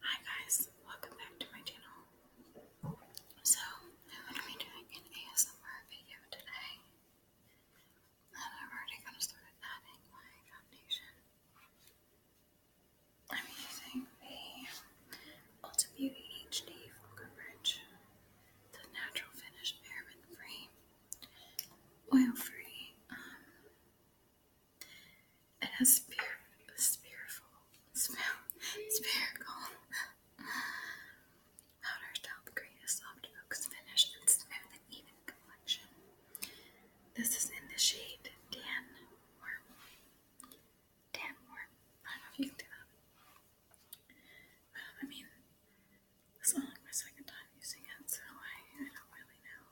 Hi guys, welcome back to my channel. So, I'm going to be doing an ASMR video today. And I've already kind of started adding my foundation. I'm using the Ulta Beauty HD Full Coverage, the Natural Finish Paraben Free, Oil Free, um, it has spir- spiriful, sp- spherical powder to help create a soft oak's finish and smooth and even complexion. This is in the shade Dan Worm. Dan Worm. I don't know if you can do that. Well, I mean, this is only my second time using it, so I, I don't really know.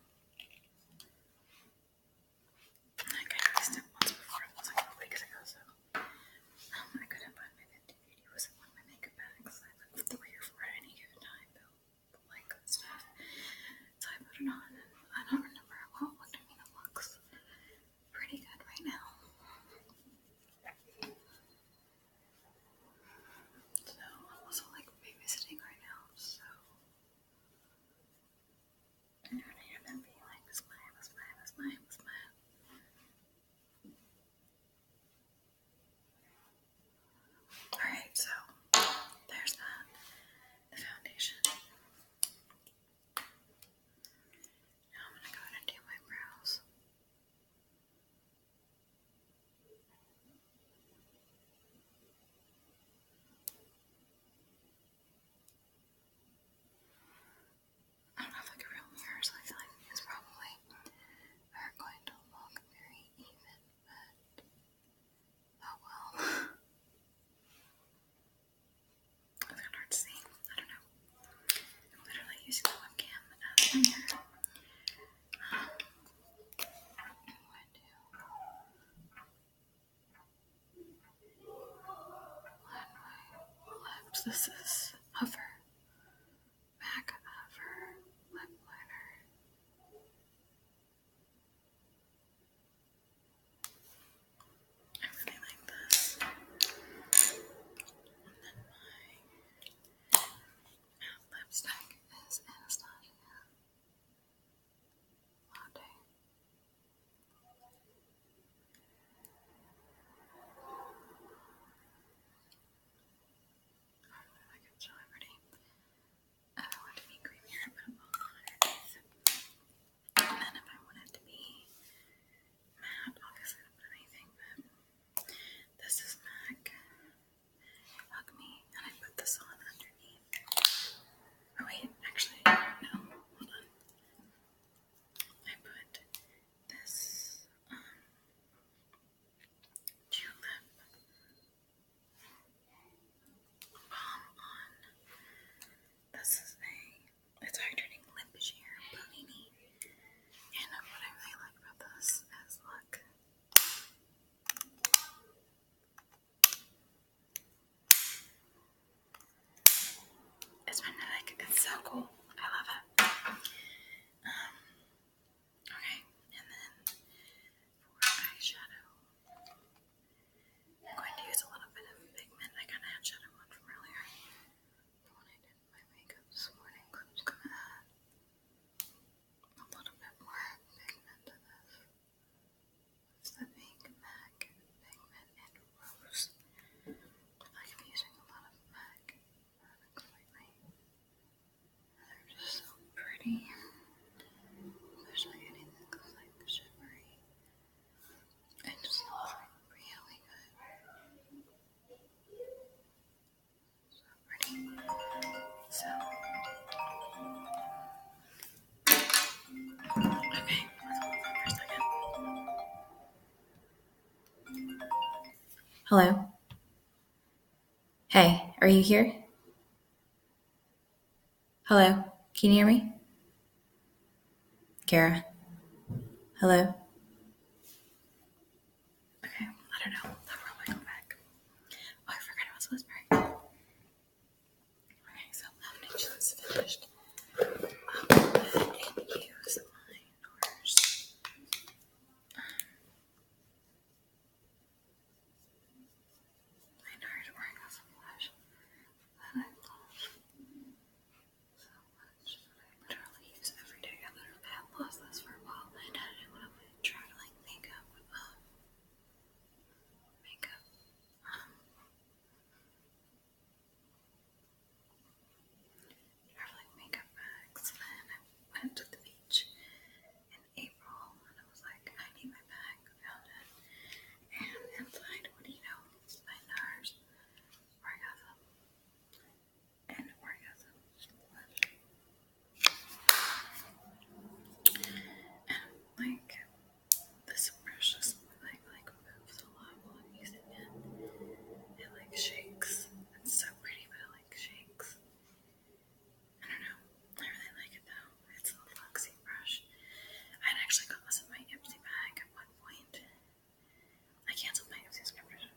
Like I missed it once before, it was like a week ago, so I couldn't find my 5080. wasn't one my makeup bags. I looked through here for any given time, though, but like stuff. So I put it on, and I don't remember how it looked. I mean, it looks pretty good right now. So I'm also like babysitting right now, so and I remember being like, smile, smile, smile, smile. Alright, so there's that. The foundation. Now I'm gonna go and do my brows. I do have like real mirror, I feel like these probably are going to look very even, but oh well. it's kind of hard to see. I don't know. I'm literally using the webcam as a mirror. Um, this is hover, back hover, lip liner. I like this. And then my lipstick is Anastasia. I want to be creamier, I put a And then if I want it to be matte, obviously I don't put anything, but this is MAC. Hug me, and I put this on underneath. Oh, wait, actually, no, hold on. I put this um, tulip balm on. This is a it's hydrating lip sheer panini. And what I really like about this is look. It's magnetic. It's so cool. I love it. Um, okay, and then for eyeshadow, I'm going to use a little bit of pigment. I kind of had shadow from earlier when I did my makeup this morning a little bit more pigment to this. It's the MAC pigment and rose. I am using a lot of MAC They're just so pretty. Especially anything that goes like shimmery. It just looks really good. Hello. Hey, are you here? Hello, can you hear me? Kara. Hello. Okay, I don't know. I'll probably go back. Oh, I forgot I was whispering. Okay, so lamination's finished. I'll go ahead and use my doors. My nerd wearing a flash that I love so much. I literally use every day. I literally had lost this for a while traveling makeup, um, makeup, um, traveling makeup bags, and I went to the beach in April, and I was like, I need my bag, found it, and inside, what do you know, my NARS, where I got them, and orgasms flesh. And like this brush just like like moves a lot while I'm using it. It like shakes. It's so pretty but it like shakes. I don't know. I really like it though. It's a luxy brush. I had actually got this in my Ipsy bag at one point. I canceled my Ipsy subscription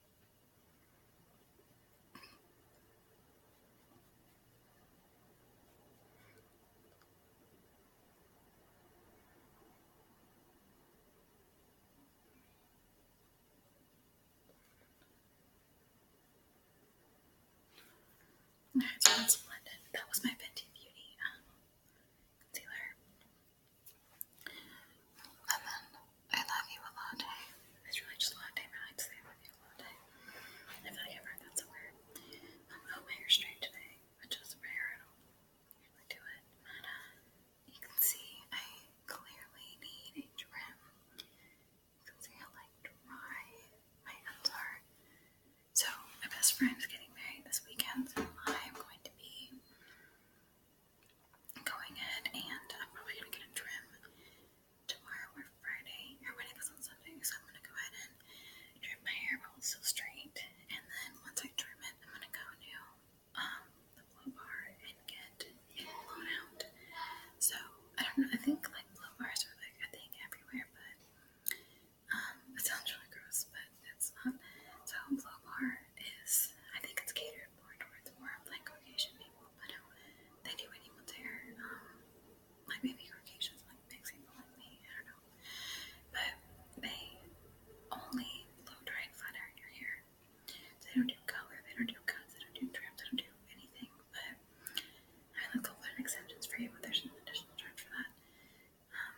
That was my Fenty Beauty um, concealer. And I love you a latte. It's really just latte, but I'd say I love you a latte. I feel like I've heard that somewhere. oh, my hair's straight today, which is rare. I don't do it. Uh, you can see I clearly need a trim. You can like dry my ends are. So my best friend is getting married this weekend, I'm going to be going ahead and I'm probably gonna get a trim tomorrow or Friday, or when it goes on Sunday, so I'm gonna go ahead and trim my hair while it's still straight, and then once I trim it, I'm gonna go to um, the blow bar and get blown out. So, I don't know, I think like blow bars are like a thing everywhere, but um, it sounds really gross, but it's not. So, blow bar is, I think it's catered they're born like Caucasian people, but they do anyone there. Um, like maybe Caucasians, like mixed people like me, I don't know. But they only blow dry flat iron your hair. they don't do color, they don't do cuts, they don't do trims, they don't do anything. But I look over an exceptions for you, but there's an additional charge for that. Um,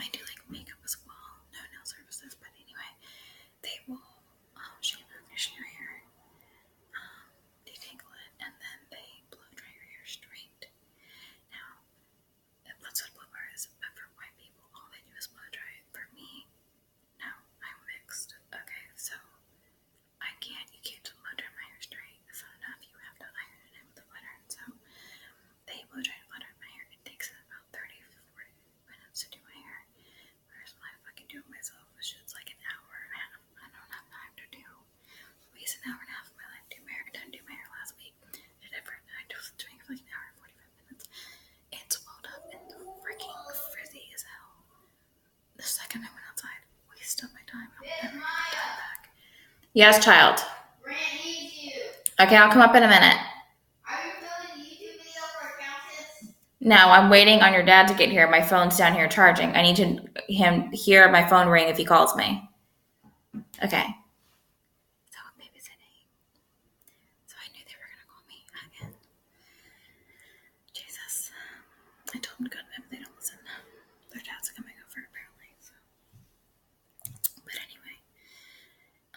I do like makeup as well, no nail services, but anyway, they will um, shampoo and condition your hair, detangle um, it, and then they blow dry your hair straight. Now, that's what blow dryer but for white people, all they do is blow dry For me, no, I'm mixed. Okay, so I can't, you can't blow dry my hair straight. It's enough. You have to iron it with a flat iron. So they blow dry and flat iron my hair. It takes about 30 might have to do my hair. Where's my fucking do myself? Which like an hour and a half. I don't have time to do. Waste an hour and a half my life. Do my hair. my hair last Did it for like an hour and forty five minutes. It's swelled up and freaking frizzy as hell. The second I went outside, wasted my time. i Yes, child. okay, I'll come up in a minute. No, I'm waiting on your dad to get here. My phone's down here charging. I need to him hear my phone ring if he calls me. Okay. So babysitting. So I knew they were gonna call me again. Jesus. I told them to go to They don't listen. Their dad's coming over apparently. So. But anyway,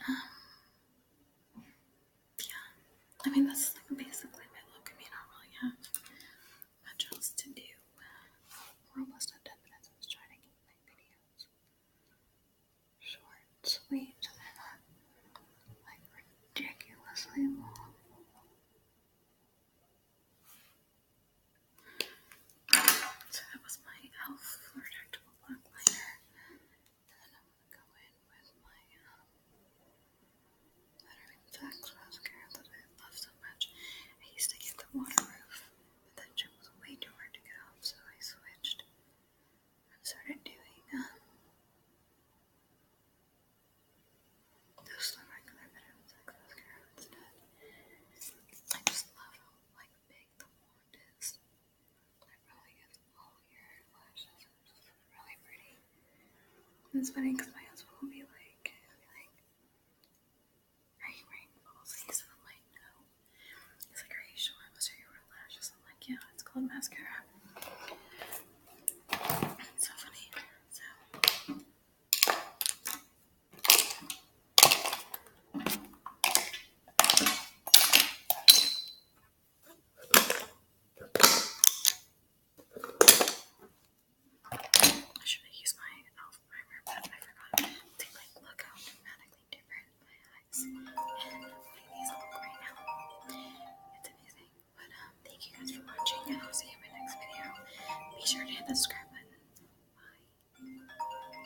um, yeah. I mean, that's like basically my look. I mean, I don't really have much else to do. Uh, we're almost at 10 minutes. I was trying to keep videos short, sweet, uh, like ridiculously long. So that was my e.l.f. Fleur Black Liner. Then I'm gonna go in with my um Veteran Flax mascara that I love so much. I used to get the waterproof, but that shit was way too hard to get off, so I switched and started doing um just the regular Veteran Flax mascara instead. I just love how like big the warmness. It really gets all your lashes it's really pretty. it's funny because my husband will be like, be like, are you wearing full sleeves? I'm like, no. He's like, are you sure? Those are your real lashes? I'm like, yeah, it's called mascara. so funny. So. I should have my elf primer, but I forgot. like look how dramatically different my eyes and these look right now. It's amazing. But um, thank you guys for watching, and I'll see you in my next video. Be sure to hit the subscribe button. Bye.